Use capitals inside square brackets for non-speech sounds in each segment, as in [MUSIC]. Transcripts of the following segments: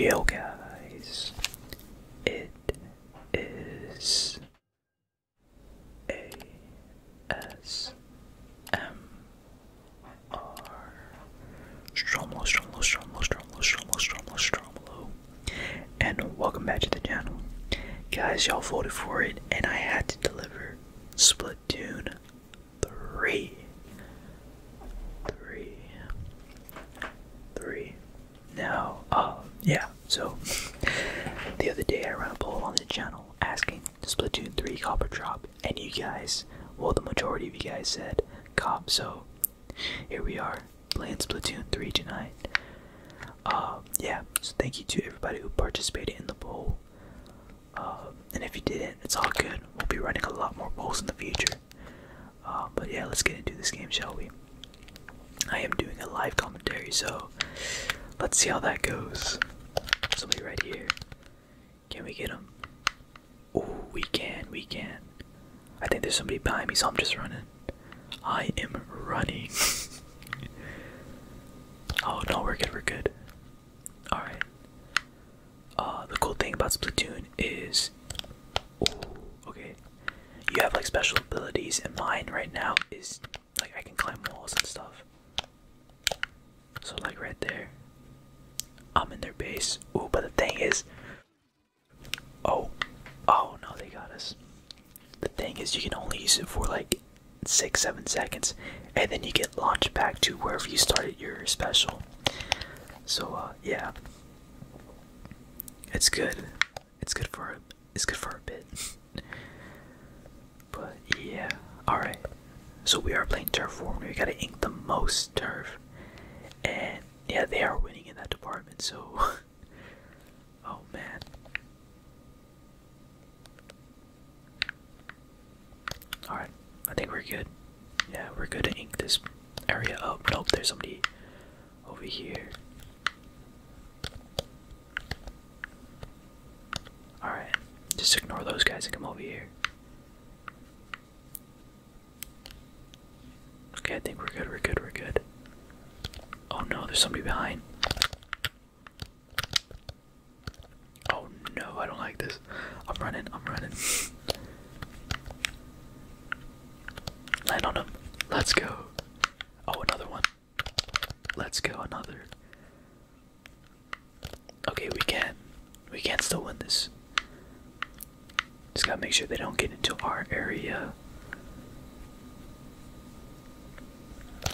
Yo guys, it is ASMR Stromlo, Stromlo, Stromlo, Stromlo, Stromlo, Stromlo, Stromlo, and welcome back to the channel. Guys, y'all voted for it, and I had to deliver Splatoon three, three, three. Now, um, uh, yeah. So the other day I ran a poll on the channel asking Splatoon 3 copper or drop, and you guys, well, the majority of you guys said cop. So here we are playing Splatoon 3 tonight. Um, yeah. So thank you to everybody who participated in the poll. Um, and if you didn't, it's all good. We'll be running a lot more polls in the future. Uh, but yeah, let's get into this game, shall we? I am doing a live commentary, so let's see how that goes. Somebody right here. Can we get him? Oh, we can, we can. I think there's somebody behind me, so I'm just running. I am running. [LAUGHS] oh no, we're good, we're good. All right. Uh, the cool thing about Splatoon is, ooh, okay, you have like special abilities, and mine right now is like I can climb walls and stuff. So like right there, I'm in their base. Oh, but the thing is, oh, oh no, they got us. The thing is, you can only use it for like six, seven seconds, and then you get launched back to wherever you started your special. So uh, yeah, it's good. It's good for it's good for a bit. [LAUGHS] but yeah, all right. So we are playing turf war. We gotta ink the most turf, and yeah, they are winning in that department. So, [LAUGHS] oh man. Alright, I think we're good. Yeah, we're good to ink this area up. Nope, there's somebody over here. Alright, just ignore those guys and come over here. Okay, I think we're good, we're good, we're good. Oh no, there's somebody behind. Oh no, I don't like this. I'm running, I'm running. Land on him. Let's go. Oh, another one. Let's go, another. Okay, we can. We can still win this. Just gotta make sure they don't get into our area.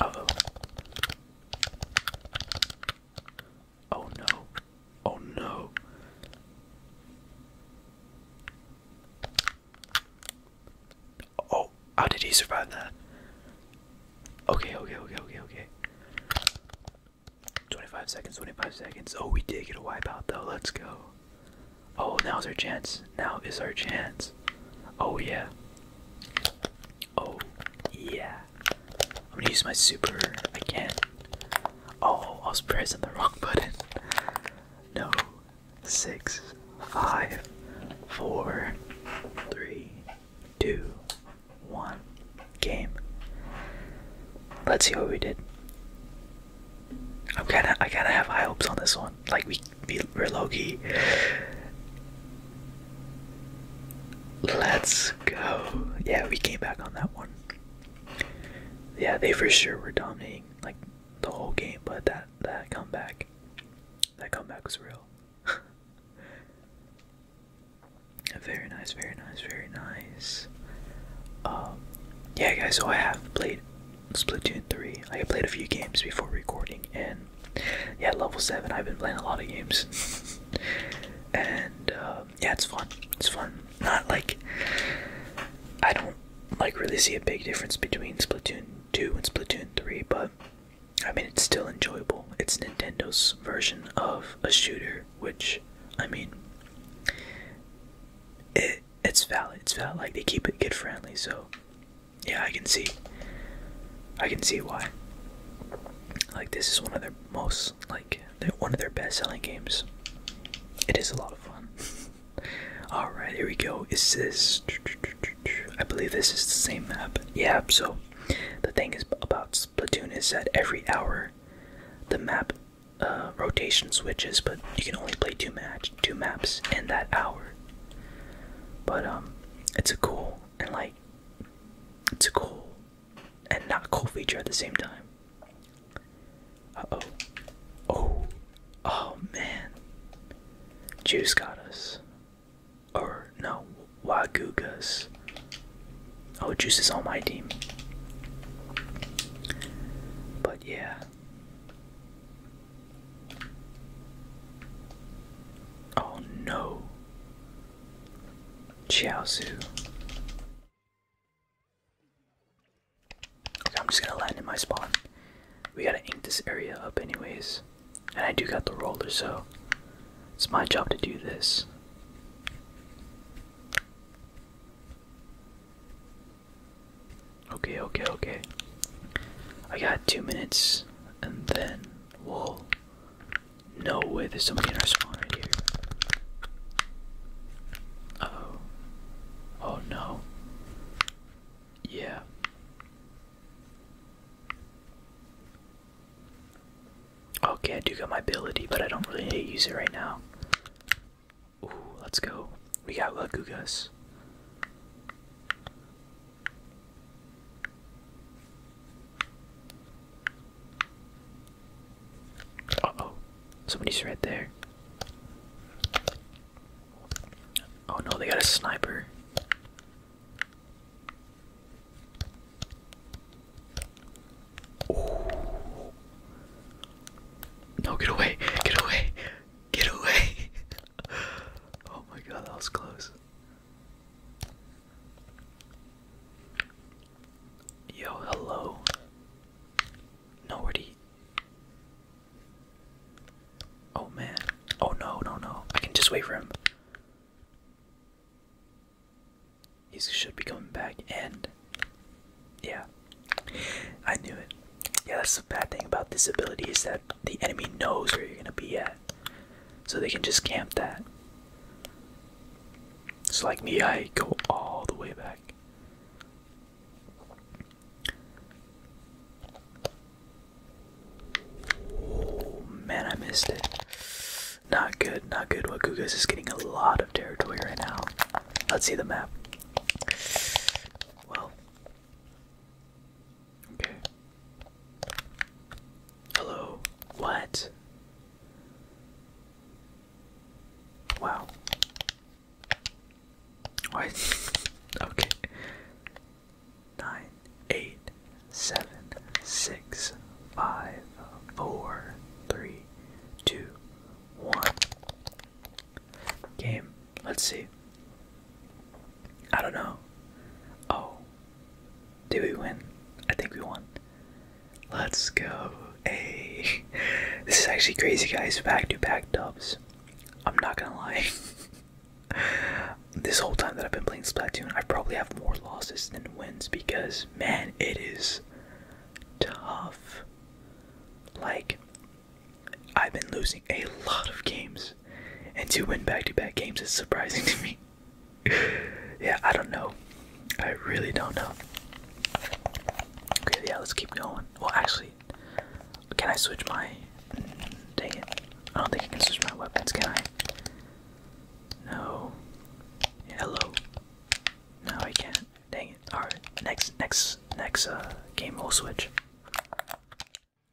oh. Oh no. Oh no. Oh, how did he survive that? Okay, okay, okay, okay, okay. 25 seconds, 25 seconds. Oh, we did get a wipeout though. Let's go. Oh, now's our chance. Now is our chance. Oh, yeah. Oh, yeah. I'm gonna use my super again. Oh, I was pressing the wrong [LAUGHS] button. No. Six, five, four, three, two, one. Game. Let's see what we did. I'm kinda, I kinda have high hopes on this one. Like we we're low key. Let's go. Yeah, we came back on that one. Yeah, they for sure were dominating like the whole game, but that that comeback, that comeback was real. [LAUGHS] very nice, very nice, very nice. Um, yeah, guys. So I have played Splatoon three. I have played a few games before recording, and yeah, level seven. I've been playing a lot of games, [LAUGHS] and uh, yeah, it's fun. It's fun. Not like I don't like really see a big difference between Splatoon 2 and Splatoon 3, but I mean it's still enjoyable. It's Nintendo's version of a shooter, which I mean it it's valid. It's valid. Like they keep it kid friendly, so yeah, I can see I can see why. Like this is one of their most like like one of their best-selling games. It is a lot of fun. [LAUGHS] All right, here we go. Is this? I believe this is the same map. Yeah. So, the thing is about Splatoon is that every hour, the map uh, rotation switches, but you can only play two match two maps in that hour. But um, it's a cool and like it's a cool and not cool feature at the same time. Uh oh. Oh. Oh man. Juice got us. Or no, Wagugas. Oh, Juice is on my team. But yeah. Oh no. Chiaozu. I'm just gonna land in my spawn. We gotta ink this area up anyways. And I do got the roller, so it's my job to do this. Okay, okay, okay. I got two minutes and then we'll no way, there's somebody in our spawn right here. oh. Oh no. Yeah. Okay, I do got my ability, but I don't really need to use it right now. Ooh, let's go. We got Lagugas. Uh oh, somebody's right there. Oh no, they got a sniper. No, get away, get away, get away. [LAUGHS] oh my god, that was close. Yo, hello. No, Oh, man. Oh, no, no, no. I can just wait for him. He should be coming back, and... Yeah. I knew it. Yeah, that's the bad thing about this ability is that the enemy knows where you're gonna be at. So they can just camp that. It's like me, I go all the way back. Oh man, I missed it. Not good, not good. Wakugas is getting a lot of territory right now. Let's see the map. Well, okay. Hello. What? Wow. Why? [LAUGHS] okay. Nine, eight, seven, six, five, four, three, two, one. Game. Let's see. I don't know. Oh. Did we win? I think we won. Let's go. Hey, [LAUGHS] this is actually crazy, guys. Back to back dubs. I'm not gonna lie. [LAUGHS] this whole time that I've been playing Splatoon, I probably have more losses than wins because, man, it is tough. Like, I've been losing a lot of games, and to win back to back games is surprising [LAUGHS] to me. yeah, I don't know. I really don't know. Okay, yeah, let's keep going. Well, actually, can I switch my. Mm, dang it. I don't think I can switch my weapons, can I? No. Yeah, hello. No, I can't. Dang it. Alright, next, next, next uh, game we'll switch.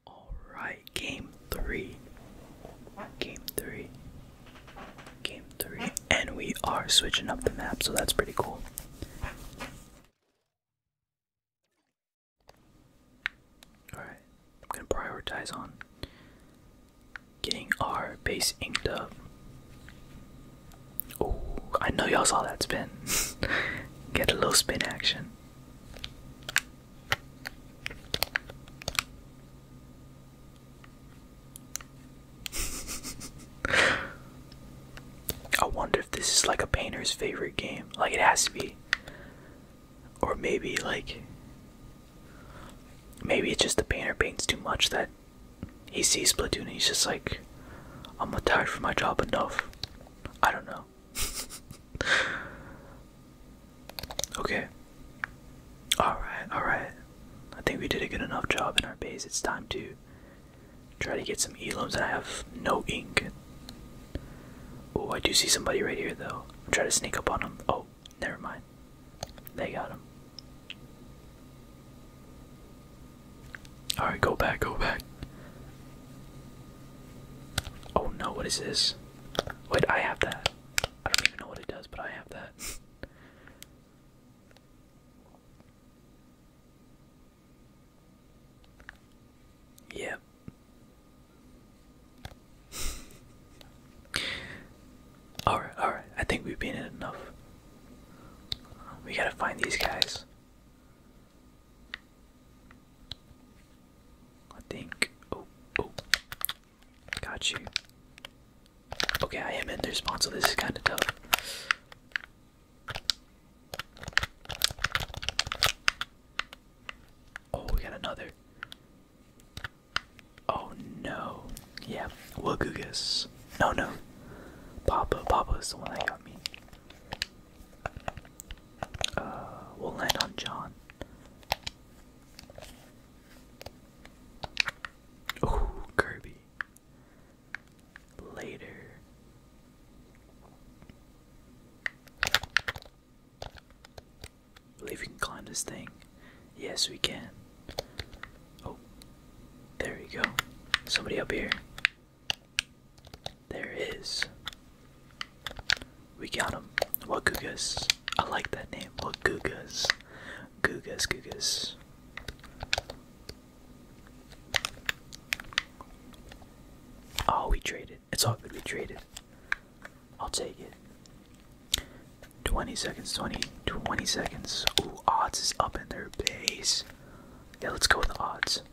Alright, game three. Game three. Game three, and we are switching up the map, so that's pretty cool. Alright, I'm gonna prioritize on getting our base inked up. Oh, I know y'all saw that spin. [LAUGHS] Get a little spin action. [LAUGHS] I wonder if this is like a painter's favorite game. Like it has to be. Or maybe like maybe it's just the painter paints too much that he sees platoon. he's just like I'm tired for my job enough. I don't know. [LAUGHS] okay. Alright, alright. I think we did a good enough job in our base. It's time to try to get some elims and I have no ink. Oh, I do see somebody right here though. Try to sneak up on them. Oh, never mind. They got him. Alright, go back, go back. Oh no, what is this? Wait, I have that. I don't even know what it does, but I have that. [LAUGHS] Yep. [LAUGHS] alright, alright. I think we've been in enough. We gotta find these guys. I think. Oh, oh. Got you. Okay, I am in their spawn, so this is kind of tough. Oh, we got another. Oh no. Yeah, Wagugas. No, no. Papa, Papa is the one that got me. Uh, we'll land on John. Ooh, Kirby later. Believe we can climb this thing. Yes, we can. Oh, there we go. Somebody up here. There is. We got him. Wagugas. I like that name. Wagugas. Gugas, Gugas. Oh, we traded. It's all good. We traded. I'll take it. 20 seconds, 20, 20 seconds. Ooh, odds is up in their base. Yeah, let's go with odds.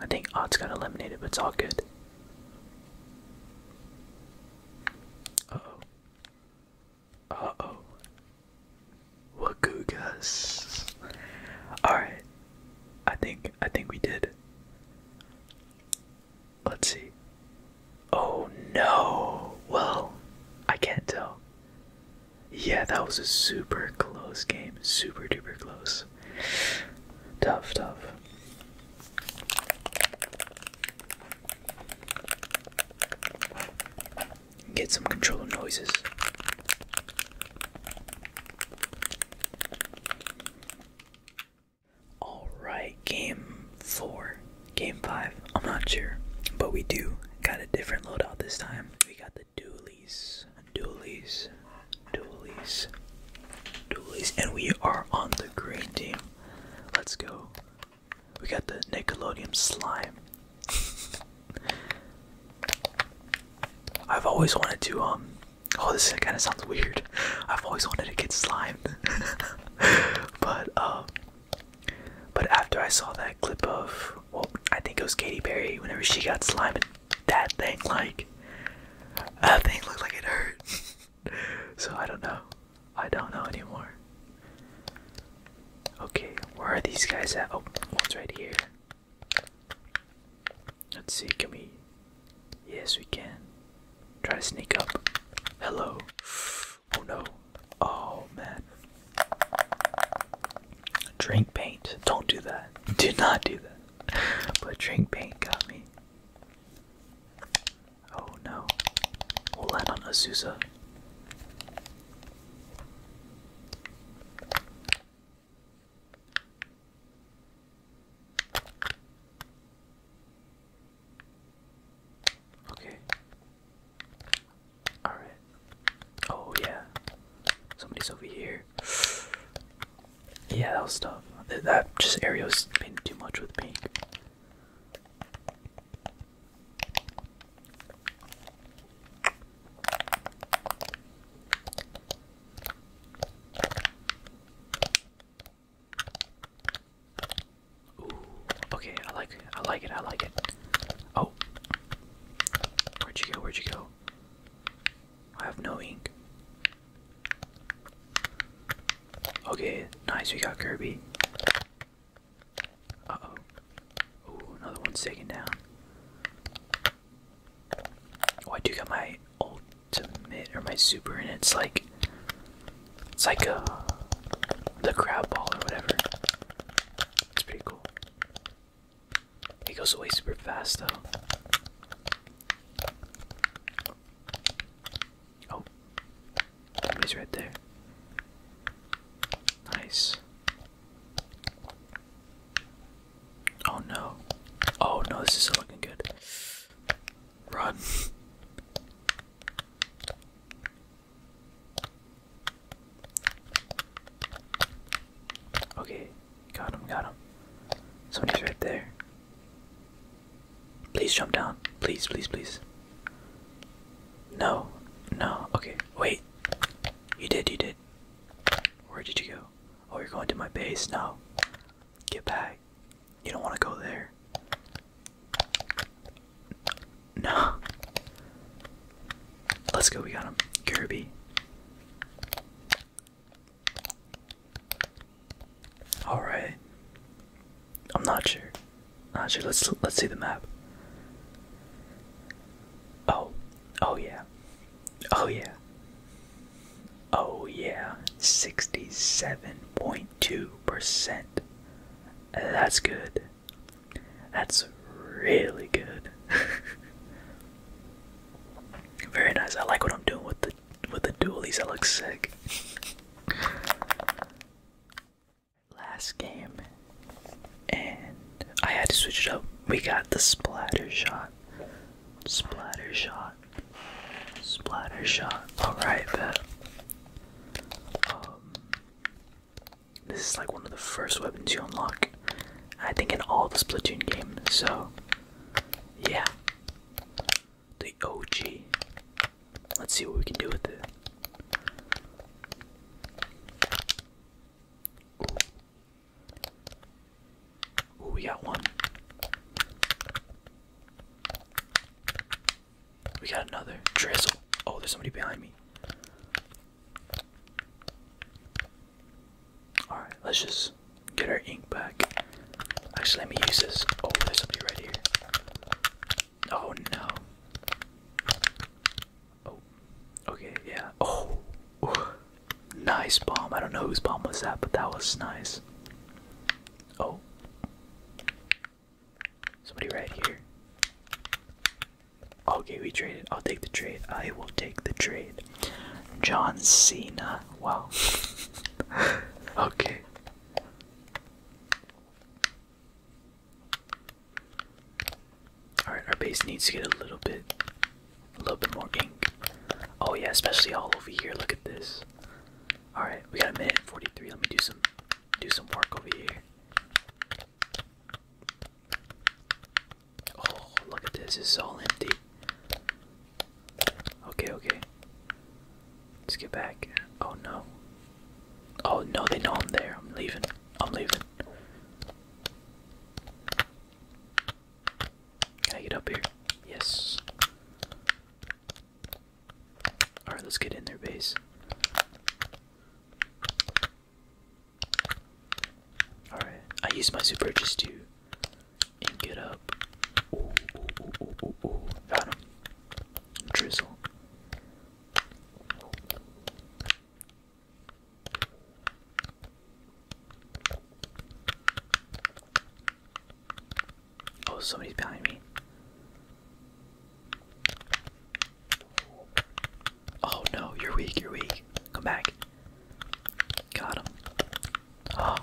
I think odds got eliminated, but it's all good. oh. Uh oh. Wagugas. Alright. I think I think we did. Let's see. Oh no. Well, I can't tell. Yeah, that was a super close game. Super duper close. Tough, tough. Get some controller noises. Alright, game four, game five. I'm not sure, but we do got a different loadout this time. We got the dualies, dualies, dualies, dualies, and we are on the green team. Let's go. We got the Nickelodeon slime. I've always wanted to um oh this kind of sounds weird. I've always wanted to get slimed. [LAUGHS] but um but after I saw that clip of well I think it was Katy Perry whenever she got slimed that thing like that thing looked like it hurt. [LAUGHS] [LAUGHS] so I don't know. I don't know anymore. Okay, where are these guys at? Oh, one's right here. Let's see, can we? Yes, we can. Try to sneak up. Hello. [GASPS] Oh no. Oh man. Drink paint. Don't do that. [LAUGHS] Do not do that. [LAUGHS] But drink paint got me. Oh no. We'll land on Azusa. Okay. Alright. Oh yeah. Somebody's over here. Yeah, that was tough. That, just area's been too much with pink okay, I like it. I like it. I like it. Oh, where'd you go? Where'd you go? I have no ink. Okay, nice. We got Kirby. Uh oh. Ooh, another one's taken down. Oh, I do got my ultimate or my super, and it's like it's like a uh, the crab ball or whatever. It's pretty cool. It goes away super fast though. Oh, somebody's right there. Nice. Oh no. Oh no, this is not looking good. Run. okay, got him, got him. Somebody's right there. Please jump down. Please, please, please. No, no. Okay, wait. You did, you did. Where did you go? Oh, you're going to my base now. Get back. You don't want to go there. No. Let's go, we got him. Kirby. Alright. I'm not sure. Not sure. Let's let's see the map. Oh, oh yeah, oh yeah, oh yeah. Sixty-seven point two percent. That's good. That's really good. [LAUGHS] Very nice. I like what I'm doing with the with the dualies. That looks sick last game, and I had to switch it up. We got the splatter shot, splatter shot, splatter shot. All right, um, this is like one of the first weapons you unlock, I think, in all the Splatoon games. So, yeah the OG. Let's see what we can do with it. Oh, we got one. We got another. Drizzle. Oh, there's somebody behind me. Alright, let's just get our ink back. Actually, let me use this. Oh, there's somebody right here. Oh no. Oh. Okay, yeah. Oh. Nice bomb. I don't know whose bomb was that, but that was nice. Oh. Somebody right here. Okay, we traded. I'll take the trade. I will take the trade. John Cena. Wow. [LAUGHS] okay. Alright, our base needs to get a little bit a little bit more ink. Oh yeah, especially all over here. Look at this. Alright, we got a minute 43. Let me do some do some work over here. Oh, look at this. It's all empty. Okay, okay. Let's get back. Oh no. Oh no, they know I'm there. I'm leaving. I'm leaving. Can I get up here? Yes. Alright, let's get in their base. Alright, I used my super just to get up. Ooh, ooh, ooh, ooh, ooh, ooh. Got him. Drizzle. Oh, somebody's behind me. Oh no, you're weak, you're weak. Come back. Got him. Oh.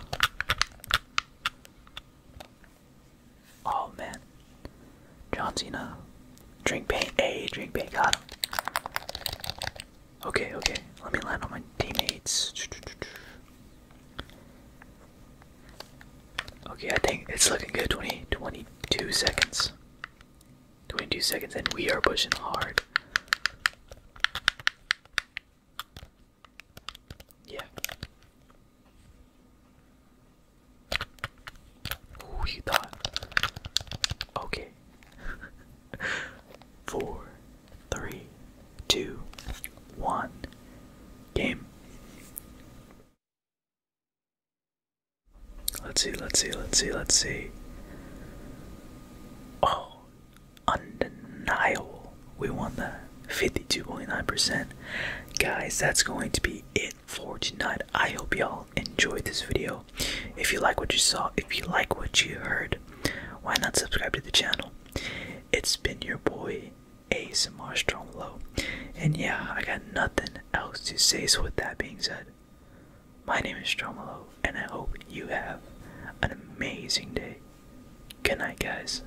Oh man. John Cena. Drink paint. Hey, drink paint. Got him. Okay, okay. Let me land on my teammates. Okay, I think it's looking good. 20, 22 seconds. 22 seconds, and we are pushing hard. Yeah. Ooh, thought. Okay. [LAUGHS] Four, three, two, one. Game. Let's see, let's see, let's see, let's see. Oh, undeniable. We won the 52.9%. Guys, that's going to be it for tonight. I hope y'all enjoyed this video. If you like what you saw, if you like what you heard, why not subscribe to the channel? It's been your boy ASMR Stronglow. And yeah, I got nothing else to say, so with that being said, my name is Stronglow, and I hope you have an amazing day. Good night, guys.